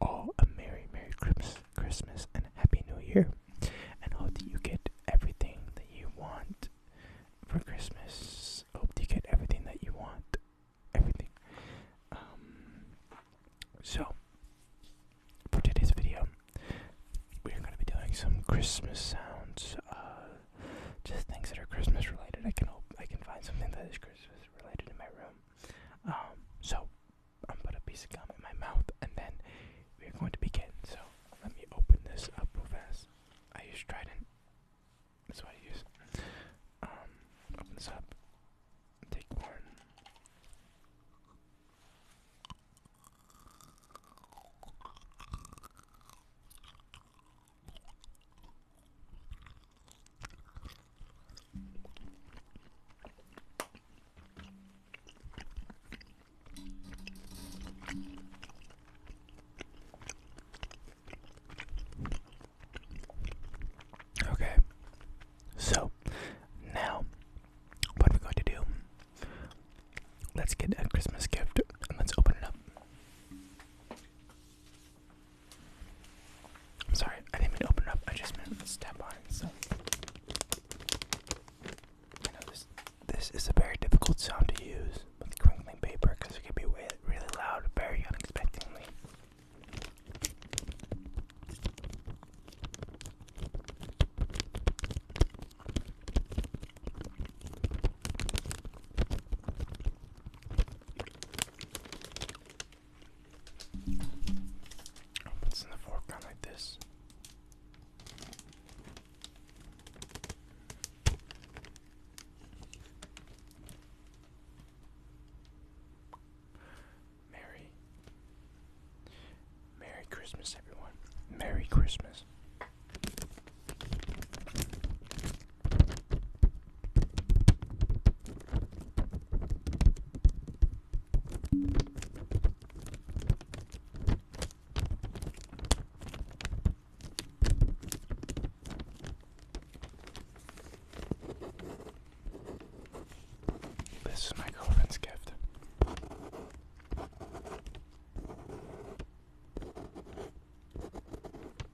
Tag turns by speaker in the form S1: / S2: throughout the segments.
S1: all a Merry, Merry Christmas and a Happy New Year. And hope that you get everything that you want for Christmas. Hope that you get everything that you want. Everything. Um, so, for today's video, we're going to be doing some Christmas sounds. Uh, just things that are Christmas related. I can hope I can find something that is Christmas related in my room. Um, so I'm gonna put a piece of gum in my mouth and then we're going to begin. So let me open this up real fast. I use Trident. That's what I use. Um, open this up. Take one. Okay, so now what we're going to do, let's get a Christmas gift and let's open it up. I'm sorry, I didn't mean to open it up. I just meant to step on it. So. I know this. This is a very difficult sound to use with crinkling paper because it can be really loud, very unexpectedly. What's in the foreground like this? Merry, Merry Christmas, everyone. Merry Christmas. This is my girlfriend's gift.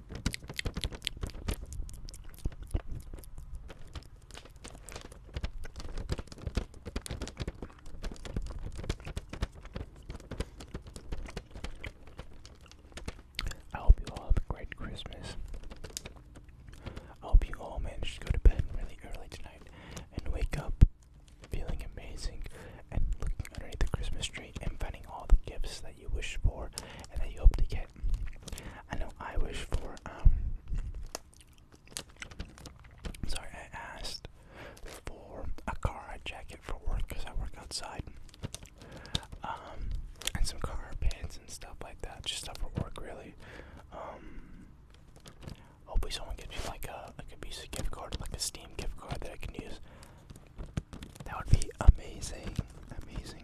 S1: I hope you all have a great Christmas. I hope you all managed to go to bed really early tonight and wake up feeling amazing and looking underneath the Christmas tree and finding all the gifts that that you wish for and that you hope to get. I know I wish for, um, sorry, I asked for a car, a jacket for work because I work outside, um, and some car pants and stuff like that, just stuff for work really. Um, hopefully someone gives me like a, like a piece of gift card, like a Steam gift card that I can use. That would be amazing, amazing.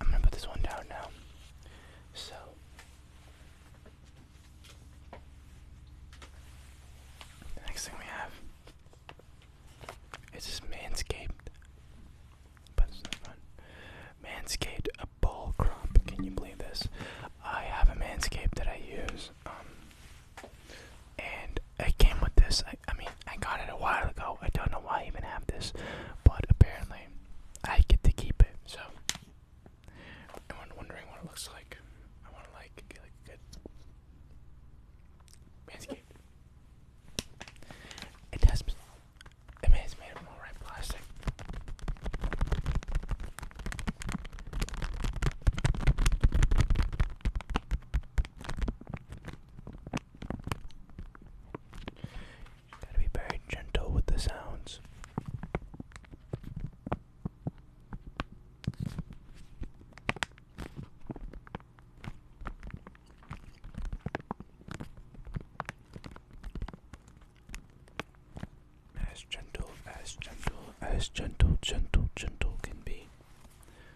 S1: I'm gonna put this one down now. So. The next thing we have is this Manscaped. But this not fun. Manscaped a ball crop. Can you believe this? I have a Manscaped that I use. Um, and I came with this. I, I mean, I got it a while ago. I don't know why I even have this, but apparently I get to keep it. So I'm wondering what it looks like. I want to like get like a good manscaped. It has. It mean, it's made of more red plastic. Gotta be very gentle with the sounds. As gentle, as gentle, as gentle, gentle, gentle can be.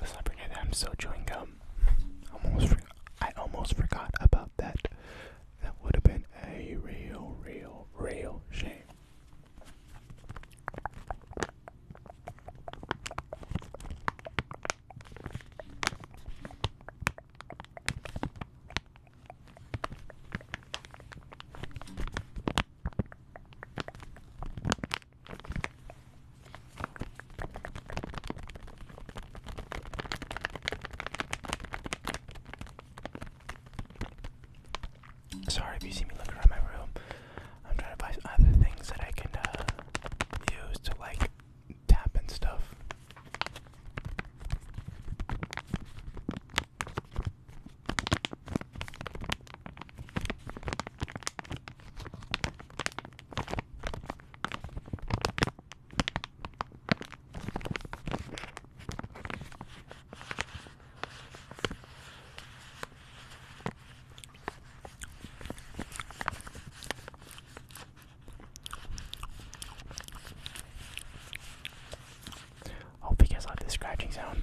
S1: Let's not forget I'm so chewing gum. I almost forgot about that. That would have been a real, real, real shame. Sorry if you see me looking around my room. I'm trying to buy other things that I can uh, use to like tap and stuff. Hope you guys like this scratching sound.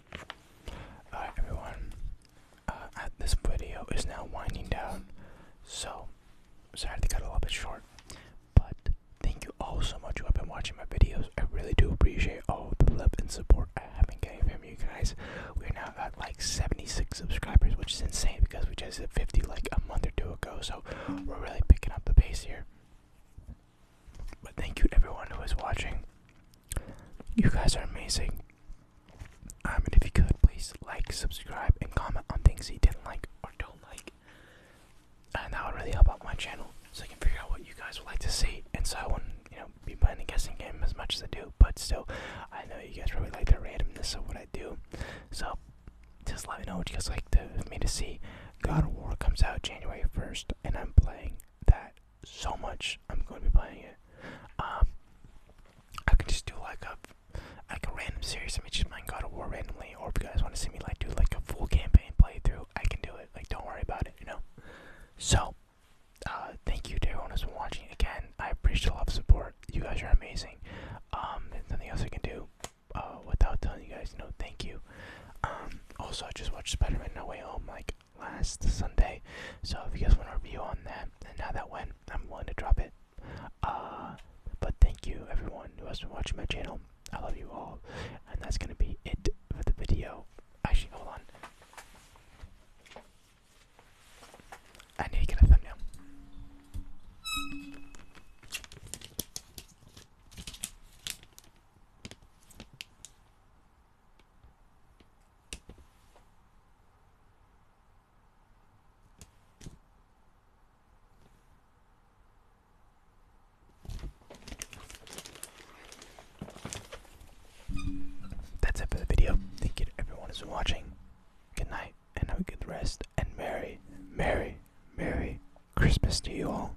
S1: Alright, everyone. Uh, this video is now winding down, so sorry to cut a little bit short. But thank you all so much for watching my videos. I really do appreciate all the love and support I have been getting from you guys. we now have like 76 subscribers, which is insane because we just hit 50 like a month or two ago. So we're really picking up the pace here. But thank you everyone who is watching. You guys are amazing. and if you could, please like, subscribe, and comment on things you didn't like or don't like. And that would really help out my channel, so I can figure out what you guys would like to see. And so I wouldn't, you know, be playing a guessing him as much as I do. But still, I know you guys really like the randomness of what I do. So just let me know what you guys like for me to see. God of War comes out January first, and I'm playing that so much. I'm going to be playing it. Um, I can just do like a like a random series. I mean, just mind God of War randomly, or if you guys want to see me like do like a full campaign playthrough, I can do it. Like, don't worry about it, you know. So, uh, thank you to everyone who's been watching. Again, I appreciate a lot of support. You guys are amazing. Um, there's nothing else I can do uh, without telling you guys, you no, know, thank you. Um, also, I just watched Spider-Man No Way Home. Like, last Sunday. So if you guys want a review on that and now that went, I'm willing to drop it. Uh, but thank you everyone who has been watching my channel. I love you all, and that's gonna be it for the video. Actually, hold on. I need to get a thumbnail. That's it for the video. Thank you everyone who's been watching. Good night and have a good rest and merry, merry, merry Christmas to you all.